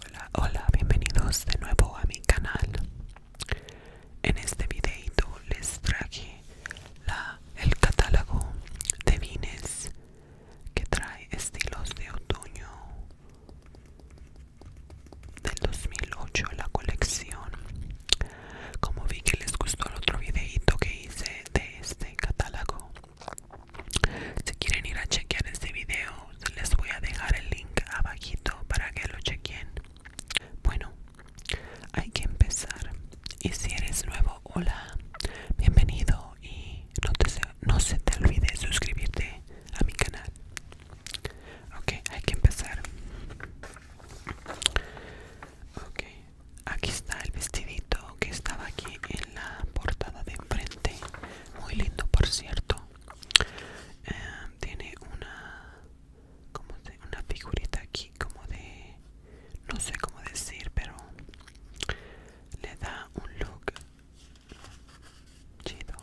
Hola, hola, bienvenidos de nuevo a mi canal. En este videito les traje el catálogo de vines que trae estilos de otoño del 2008, la colección como vi que les gustó el otro videito que hice de este catálogo Si quieren ir a chequear este video les voy a dejar el link abajito para que lo chequen Bueno, hay que empezar Y si eres nuevo, hola, bienvenido y no, no se te olvide suscribirte a mi canal Ok, hay que empezar aquí está el vestidito que estaba aquí en la portada de enfrente. Muy lindo, por cierto. Eh, tiene una, una figurita aquí, como de, no sé cómo decir, pero le da un look chido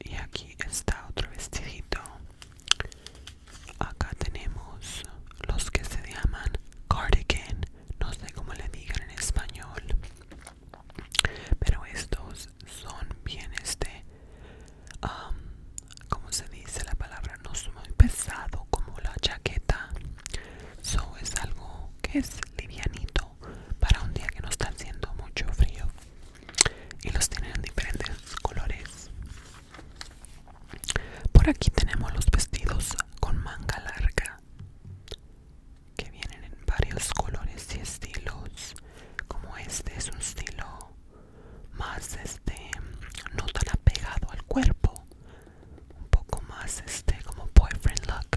y aquí está otro vestidito acá tenemos los que se llaman cardigan no sé cómo le digan en español pero estos son bien este como se dice la palabra no es muy pesado como la chaqueta so es algo que es livianito para un día que no está haciendo mucho frío y los tienen en diferentes colores por aquí tenemos los vestidos con manga larga que vienen en varios colores y estilos como este es un estilo más este no tan apegado al cuerpo un poco más este como boyfriend look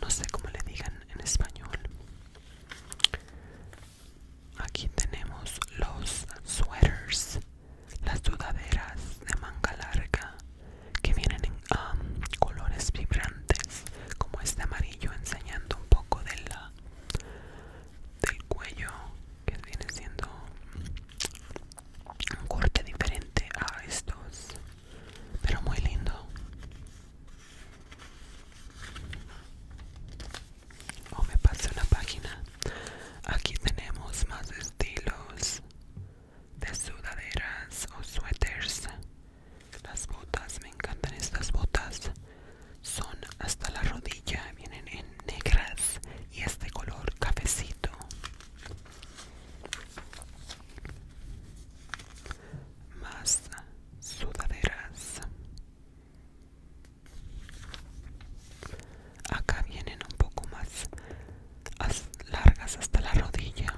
no sé cómo le digan en español aquí tenemos los sweaters las sudaderas de manga larga que vienen en um, colores vibrantes como este amarillo enseñando un poco del cuello que viene siendo un corte diferente a estos pero muy lindo. O me pasé una página. Aquí tenemos más estilos de sudaderas o suéteres. Las botas, me encantan estas botas. Son hasta la rodilla, vienen en negras y es de color cafecito más sudaderas acá vienen un poco más largas hasta la rodilla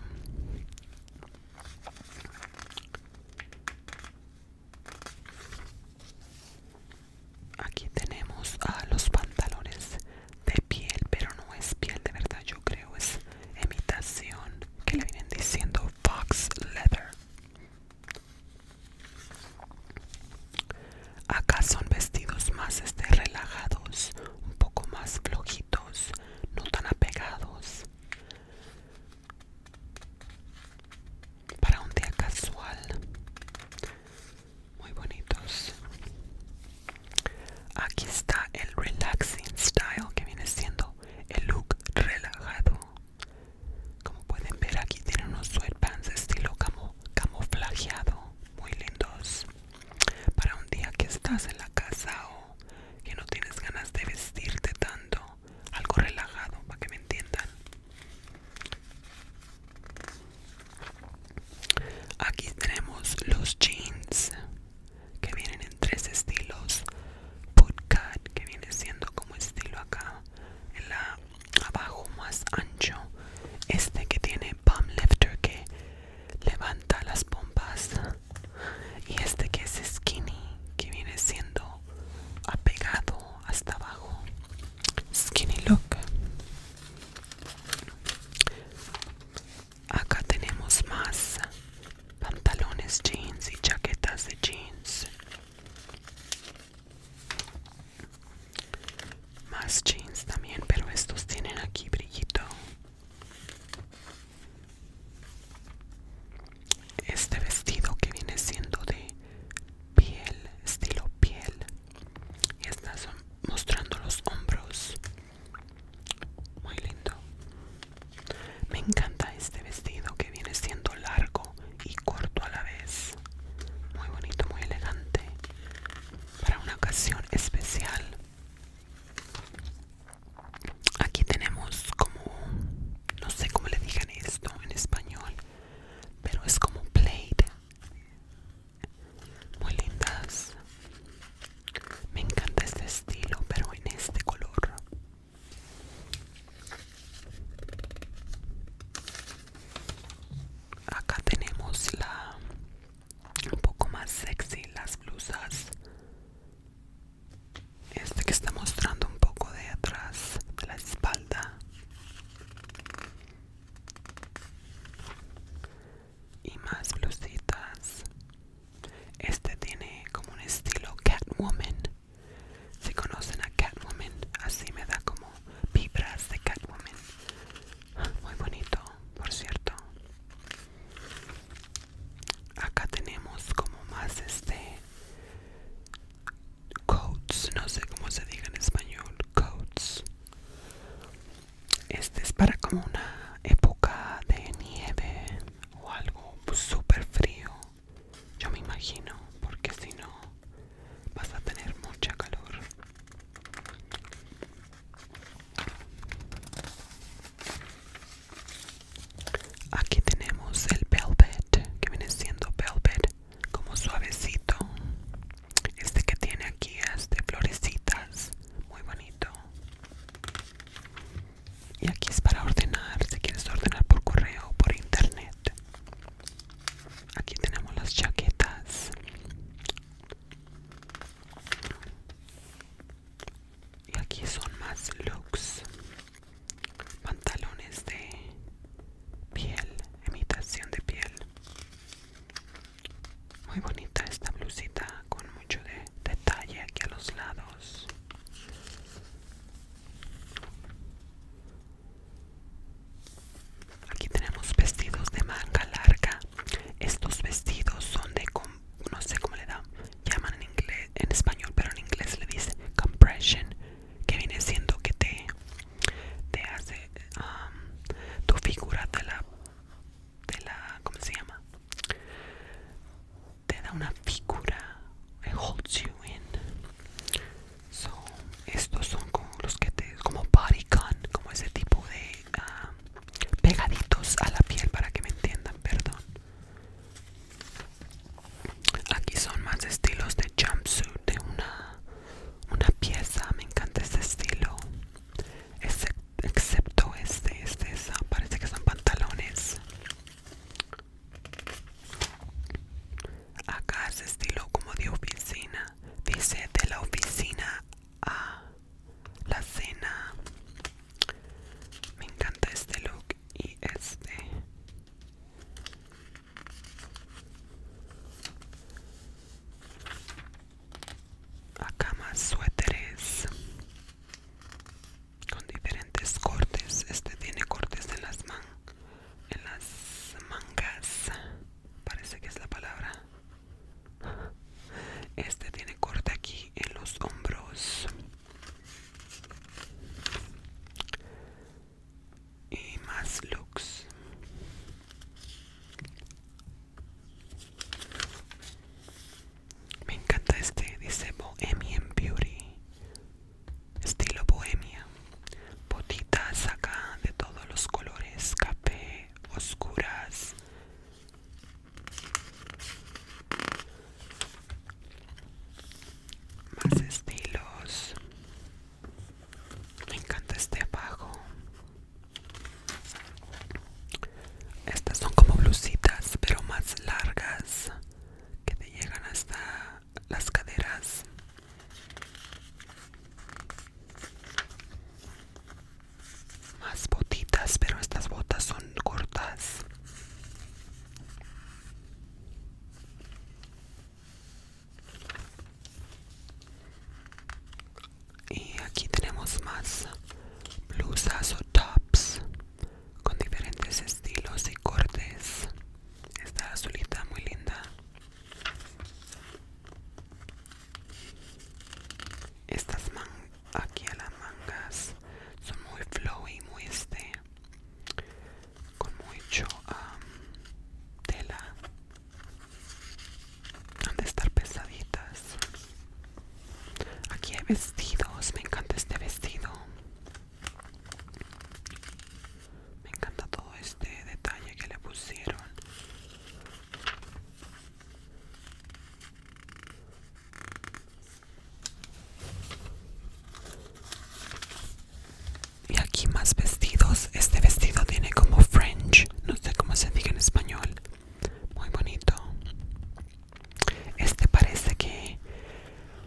aquí tenemos a los pantalones de piel pero no es piel de verdad yo creo es imitación que le vienen diciendo Fox Leather. Acá son vestidos más este, relajados, un poco más flojitos, no tan apegados. Para un día casual. Muy bonitos. Aquí está el relaxing style que viene siendo el look relajado. Como pueden ver aquí tiene unos sweatpants estilo camuflajeado, muy lindos. Para un día que estás en la casa o que no tienes ganas de vestirte tanto, algo relajado para que me entiendan. Aquí tenemos los jeans que vienen en tres estilos Bootcut que viene siendo como estilo acá en abajo más ancho este que tiene palm lifter que levanta las pompas y este que es skinny que viene siendo apegado hasta abajo skinny look Acá tenemos más pantalones jeans y chaquetas de jeans. Más jeans también, pero estos tienen aquí brillito. Este vestido que viene siendo de piel, estilo piel. Y son mostrando los hombros muy lindo me encanta este vestido que viene siendo largo y corto a la vez muy bonito muy elegante para una ocasión especial aquí tenemos como no sé cómo le digan esto en español pero es como plate muy lindas me encanta este estilo pero en este color acá tenemos la un poco más sexy las blusas este que está mostrando un poco de atrás de la espalda y más blusitas. Este tiene como un estilo Catwoman. Si conocen a Catwoman, así me da como vibras de Catwoman. Muy bonito, por cierto. Acá tenemos como más este coats, no sé cómo se diga en español, coats. Este es para como una época de nieve o algo súper frío. Yo me imagino, porque si no vas a tener mucha calor. Aquí tenemos el velvet, que viene siendo velvet, como suavecito. Este que tiene aquí es de florecitas, muy bonito. Y aquí es para ordenar, si quieres ordenar por correo o por internet. Aquí tenemos las chaquetas. Y aquí son más looks. Pantalones de piel, imitación de piel. Muy bonita esta blusita con mucho de detalle aquí a los lados. Aquí tenemos vestidos de manga larga. Estos vestidos son de no sé cómo le dan, llaman en español, pero en inglés le dice compression, que viene siendo que te, te hace um, tu figura de la de la ¿cómo se llama? te da una figura it holds you in so estos son como los que te como como ese tipo de ah, pegaditos a la piel para que me entiendan perdón aquí son más estilos de jumpsuit de una una pieza me encanta este estilo excepto este, este parece que son pantalones. Acá es estilo como de oficina, dice de la oficina a la cena. Me encanta este look y este acá más suéteres con diferentes cortes este tiene cortes en las en las mangas parece que es la palabra este tiene corte aquí en los hombros y más looks me encanta este dice bohemian beauty estilo bohemia botitas acá de todos los colores café oscuras más estilos me encanta este abajo. Estas son como blusitas, pero más largas, que te llegan hasta las caderas. Más botitas, pero estas botas son cortas y aquí tenemos más blusas o tops con diferentes estilos y cortes esta azulita muy linda estas mangas aquí a las mangas son muy flowy muy este con mucho tela han de estar pesaditas. Aquí hay vestidos. Me encanta este vestido. Me encanta todo este detalle que le pusieron. Y aquí más vestidos. Este vestido tiene como French. No sé cómo se diga en español. Muy bonito. Este parece que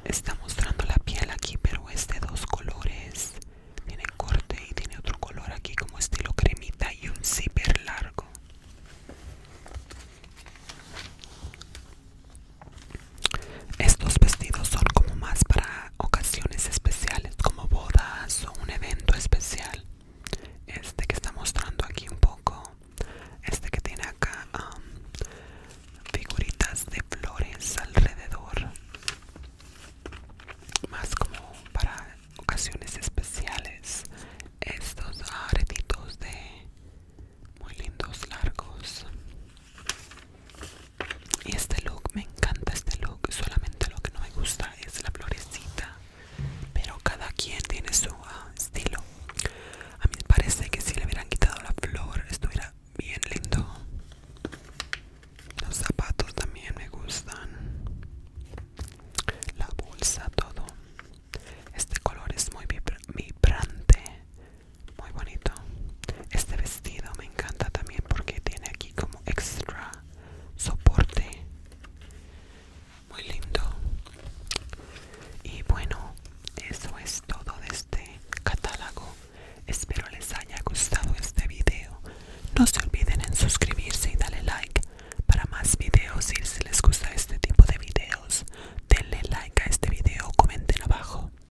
está mostrando la piel aquí, pero es de dos colores. Tiene corte y tiene otro color aquí como estilo cremita y un zipper largo. Estos vestidos son como más para ocasiones especiales como bodas o un evento especial este que está mostrando aquí un poco este que tiene acá um, figuritas de flores alrededor más como para ocasiones especiales estos aretitos de muy lindos largos y este look, me encanta este look. Solamente lo que no me gusta es la florecita. Pero cada quien tiene su ah, estilo. A mí me parece que si le hubieran quitado la flor, estuviera bien lindo. Los zapatos también me gustan. La bolsa, todo. Este color es muy vibrante muy bonito este vestido me encanta también porque tiene aquí como extra soporte muy lindo y bueno eso es todo de este catálogo espero les haya gustado este video no se olviden en suscribirse y darle like para más videos y si les gusta este tipo de videos denle like a este video comenten abajo